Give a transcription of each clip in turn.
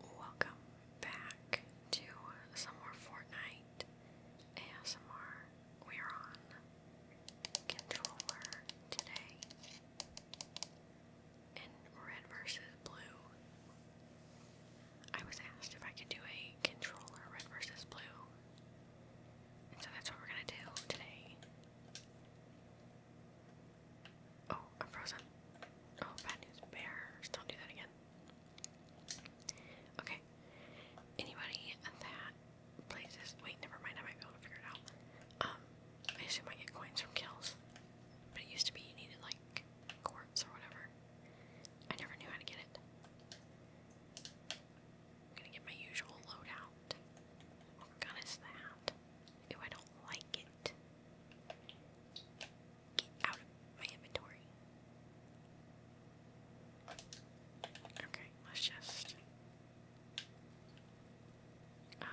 Welcome back to some more Fortnite ASMR. We're on controller today in red versus blue. I was asked if I could do a controller red versus blue, and so that's what we're gonna do today. Oh, I'm frozen. Oh, bad news. Bears. Don't do that again. Okay. Anybody that plays this. Wait, never mind. I might be able to figure it out. Um, I assume I get coins from kills. But it used to be you needed, like, quartz or whatever. I never knew how to get it. gonna get my usual loadout. What gun is that? Ew, I don't like it. Get out of my inventory. Okay, let's just. Um,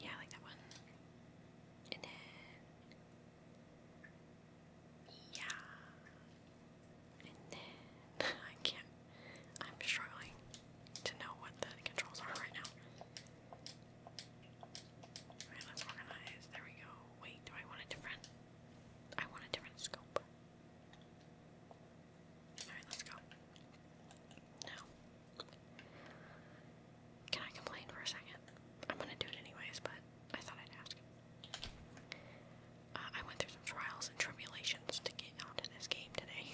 yeah, like that one. And then. Yeah. And then. I can't. I'm struggling to know what the controls are right now. Alright, let's organize. There we go. Wait, do I want a different I want a different scope? Alright, let's go. No. Can I complain for a second? I'm gonna do it anyways, but I thought I'd ask. Uh, I went through some trials and tribulations to get out onto this game today.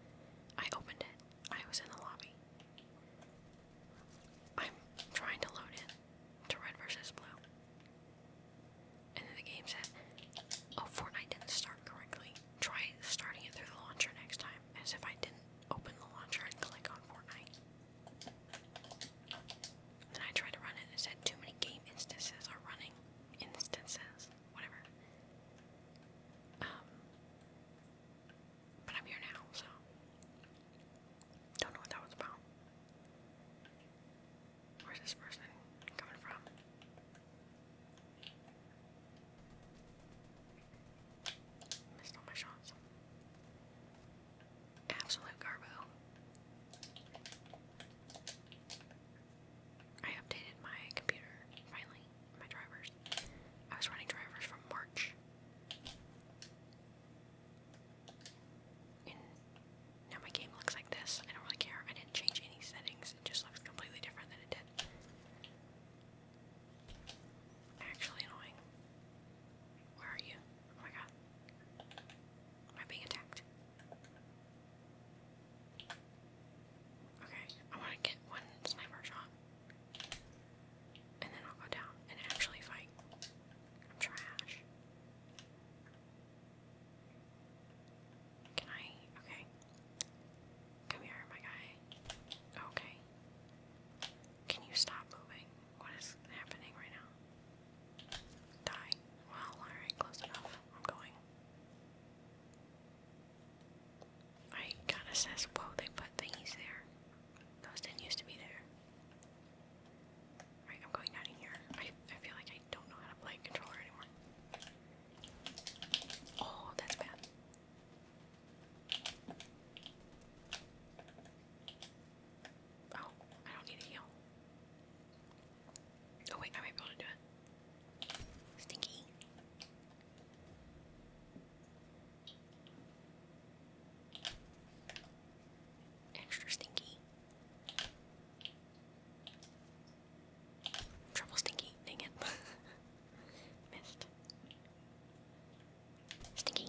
I opened it. I was in the lobby. I'm trying to load it to red versus blue. And then the game said, Oh, Fortnite didn't start correctly. Try starting it through the launcher next time, as if I didn't open the launcher and click on Fortnite. Then I tried to run it and it said too many game instances are running. Instances. Whatever. Um, but I'm here now, so. Don't know what that was about. Where's this person coming from? Missed all my shots. Absolute garbo. I updated my computer finally, my drivers. I was running drivers from March now my game looks like this. I don't really care. I didn't change any settings. It just looks completely different than it did. Actually annoying. Where are you? Oh my god. Am I being attacked? Okay, I want to get one sniper shot. And then I'll go down and actually fight. trash. Can I? Okay. Come here, my guy. Okay. Can you stop moving? What is happening right now? Die. Well, alright, close enough. I'm going. I kinda says, whoa, they put thingies there. Those didn't used to be there. Alright, I'm going down in here. I, I feel like I don't know how to play controller anymore. Oh, that's bad. Oh, I don't need a heal. Oh wait, I might be able to do it. Stinky. Extra stinky. Trouble stinky. Dang it. Missed. Stinky.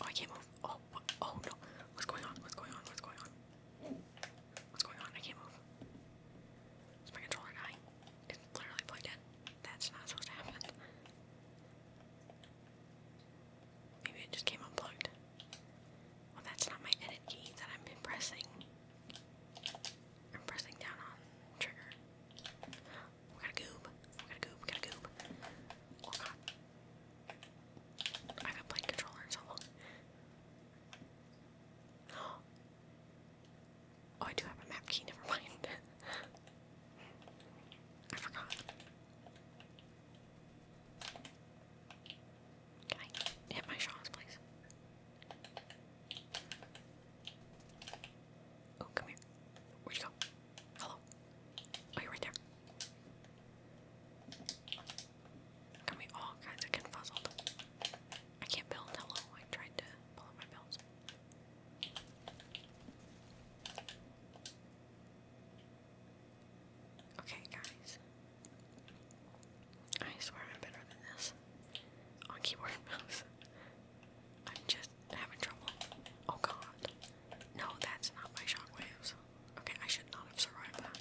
Oh, I can't move. Oh, oh no. What's going on? What's going on? What's going on? What's going on? I can't move. my controller dying? It's literally plugged in. That's not supposed to happen. Maybe it just came unplugged. Well, that's not my edit key that I'm pressing. I'm pressing down on trigger. We got a goob. We got a goob. We got a goob. Oh god. I haven't played controller in Oh, I do have a map key, never mind. I forgot. Can I my shots, please? Oh, come here. Where'd you go? Hello. Oh, you're right there. There can all kinds of confuzzled. I can't build. Hello, I tried to pull up my builds. Okay, guys. I swear I'm better than this on keyboard and I'm just having trouble. Oh god. No, that's not my shockwaves. Okay, I should not have survived that.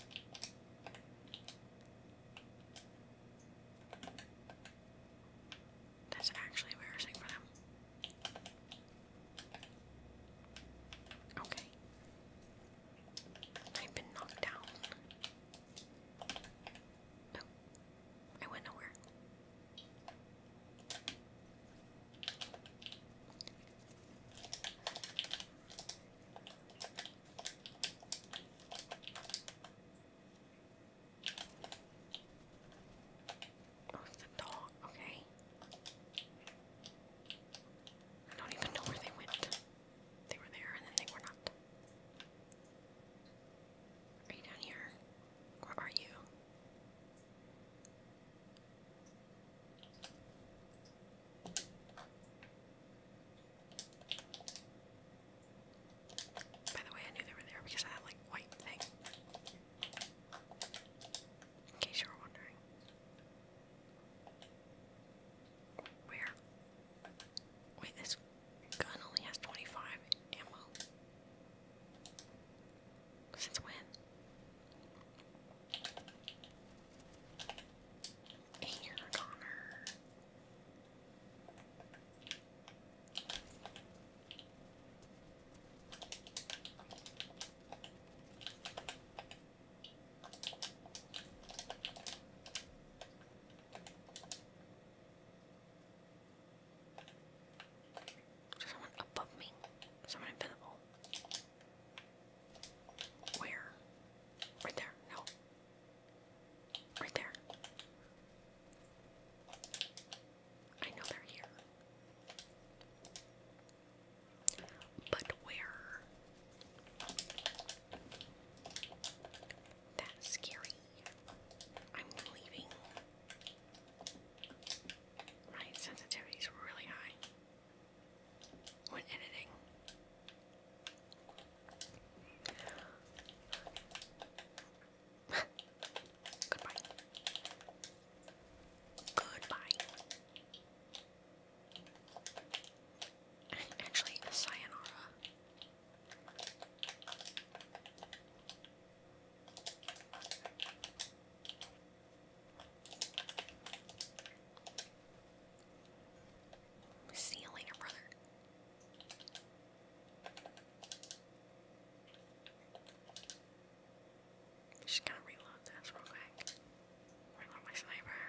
That's actually embarrassing for them. Okay. I've been knocked down. No. I went nowhere. Oh, it's a dog, okay. I don't even know where they went. They were there and then they were not. Are you down here? Where are you? By the way, I knew they were there because I have like white thing. In case you were wondering. Where? Wait, this gun only has 25 ammo. Since when? and Connor. Someone above me. Someone invisible. Where? Right there. No. Right there. I know they're here. But where? That's scary. I'm leaving. My sensitivity's really high when editing. Goodbye. Goodbye. Actually, sayonara. See you later, brother. Just gotta reload this real quick. Reload my sniper.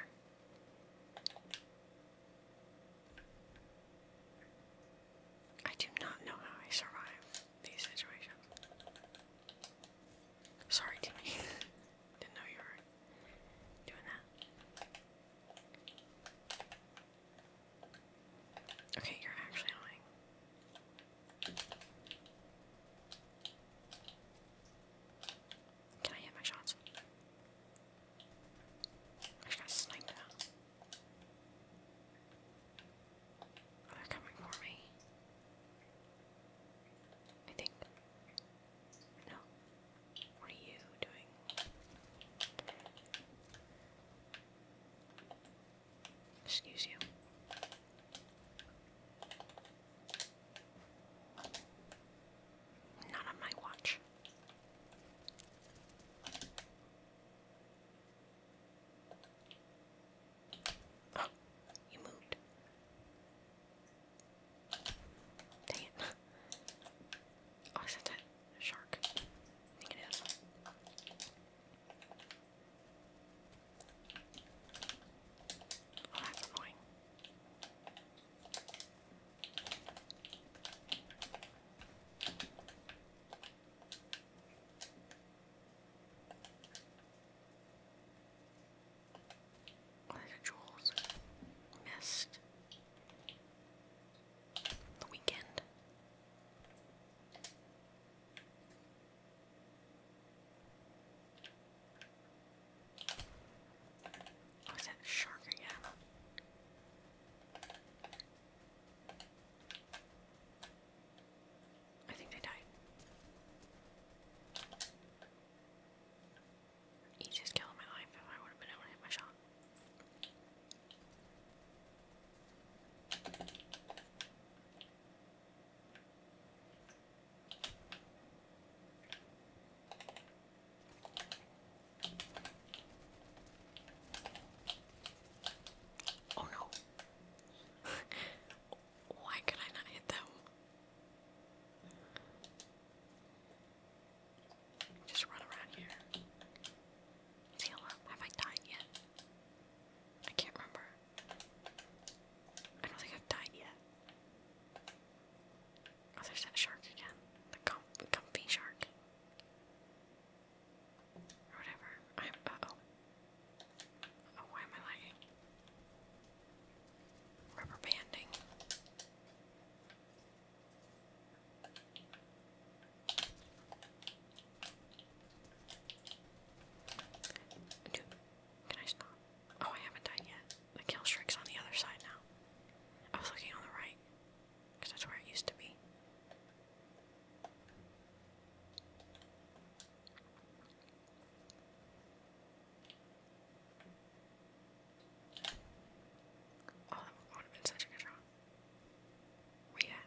I do not know how I survive these situations. Sorry, Didn't know you were doing that. Okay, you're actually annoying. Can I hit my shots? I just snipe that. they're coming for me. I think. No. What are you doing? Excuse you. Not on my watch. you moved. Dang it. Oh, is that a shark? I think it is. Oh, that's annoying. What jewels? Mist. The weekend. Oh, that shark again? I think they died. Easiest just of my life if I would have been able to hit my shot. Oh no. Why could I not hit them? Just run around here. Heal Have I died yet? I can't remember. I don't think I've died yet. Oh, there's that shark again. The comfy shark. Or whatever. oh, why am I lagging? Rubber banding. can I stop? Oh, I haven't died yet. The kill streak's on the other side now. I was looking on the right, because that's where it used to be. Oh, that would have been such a good shot. Where you at?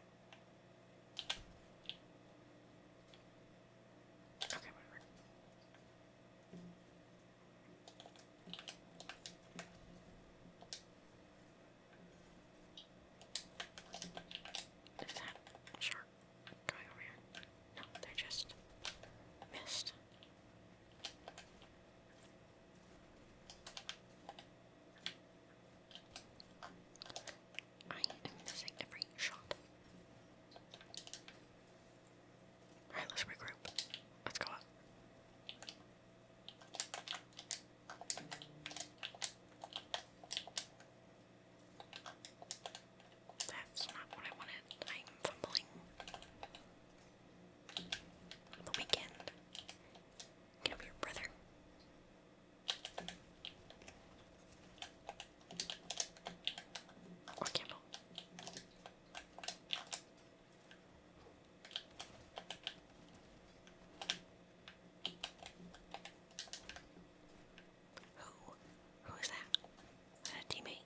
Okay, whatever. Is that sure? going over here. No, they're just missed. I am missing every shot. Alright, let's regroup. Let's go up. That's not what I wanted. I'm fumbling. The weekend. Get over here, brother. Or candle. Who? Who is that? Is that a teammate?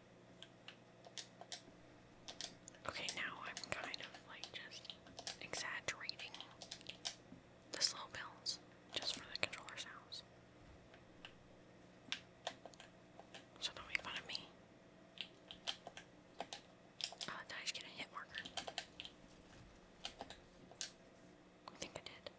Okay, now I'm kind of like just exaggerating the slow builds just for the controller sounds. So don't make fun of me. Oh, did I just get a hit marker? I think I did.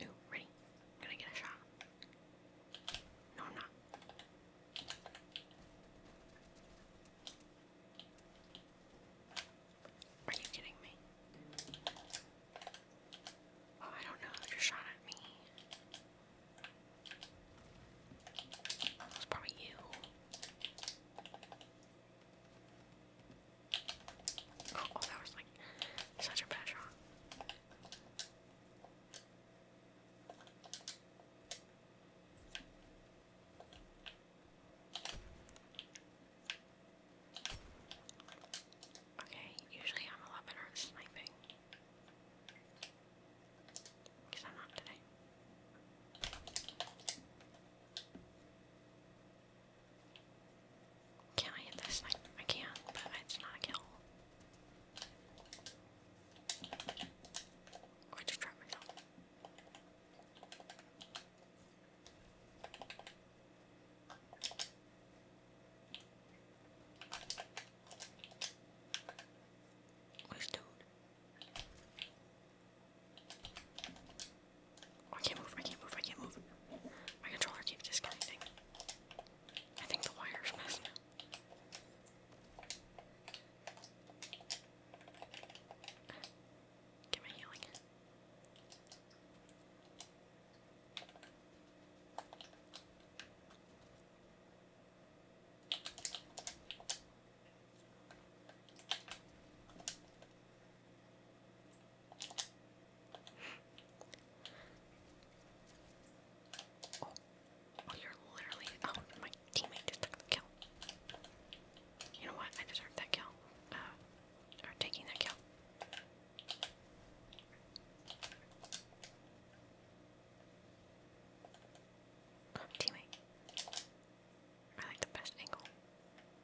Ooh, ready. gonna get a shot. No, I'm not. Are you kidding me? Oh, I don't know. They shot at me. It's probably you. Oh, oh, that was like such a bad shot. Okay, usually I'm a lot sniping. Because I'm not today. Can I hit this snipe? I can, but it's not a kill. I just dropped myself. Where's dude? Oh, I can't move, I can't move, I can't move. My controller keeps disconnecting. I think the wire's messed up. Get Oh, you're literally. Oh my teammate just took the kill. You know what? I deserve that kill. Uh, or taking that kill. teammate. I like the best angle.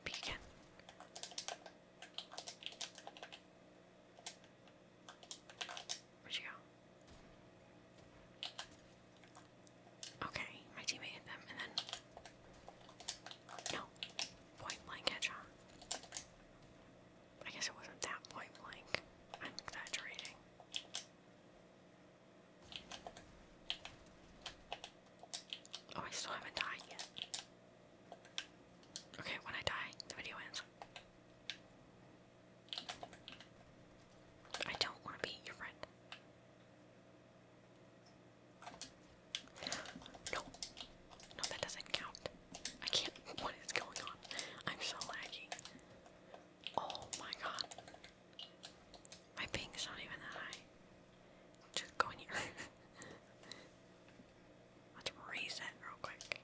Peek again. Where'd you go? Okay, my teammate hit them, and then no, point blank headshot. I guess it wasn't that point blank. I'm exaggerating. Oh, I still haven't died yet. Okay, when I die, the video ends. I don't want to be your friend. No. No, that doesn't count. I can't. What is going on? I'm so laggy. Oh my god. My ping's not even that high. Just go here. Let's raise real quick.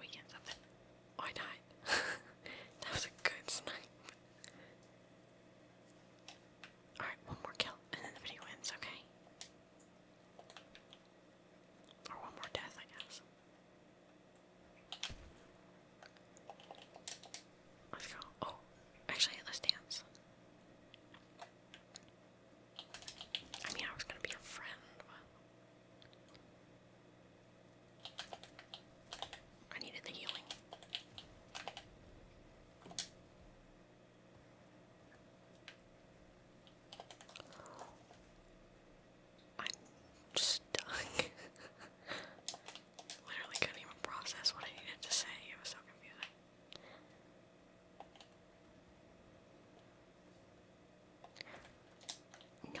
We get something. I died. that was a good snipe. Alright, one more kill, and then the video ends, okay? Or one more death, I guess. Let's go. Oh, actually, let's dance. I mean, I was gonna be a friend, I needed the healing. I'm stuck. Literally couldn't even process what I needed to say. It was so confusing. No.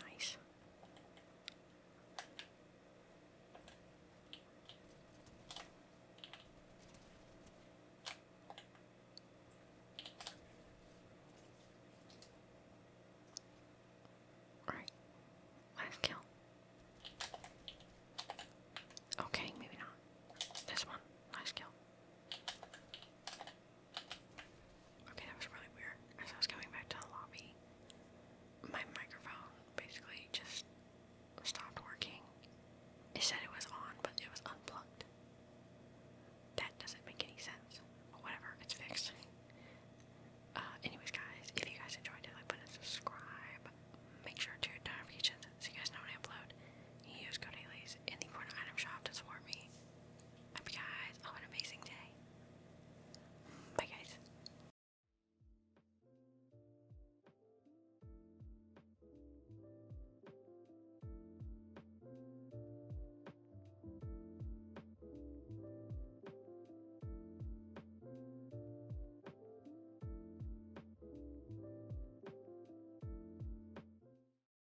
Nice. Alright. Last kill. Okay, maybe not. This one. Nice kill. Okay, that was really weird. As I was coming back to the lobby, my microphone basically just stopped working. They said it was on, but it was unplugged. That doesn't make any sense. But whatever, it's fixed. Uh, anyways, guys, if you guys enjoyed it, like button and subscribe. Make sure to hit notifications so you guys know when I upload. use code Ailey's in the corner item shop to support me hope guys have an amazing day. Bye, guys.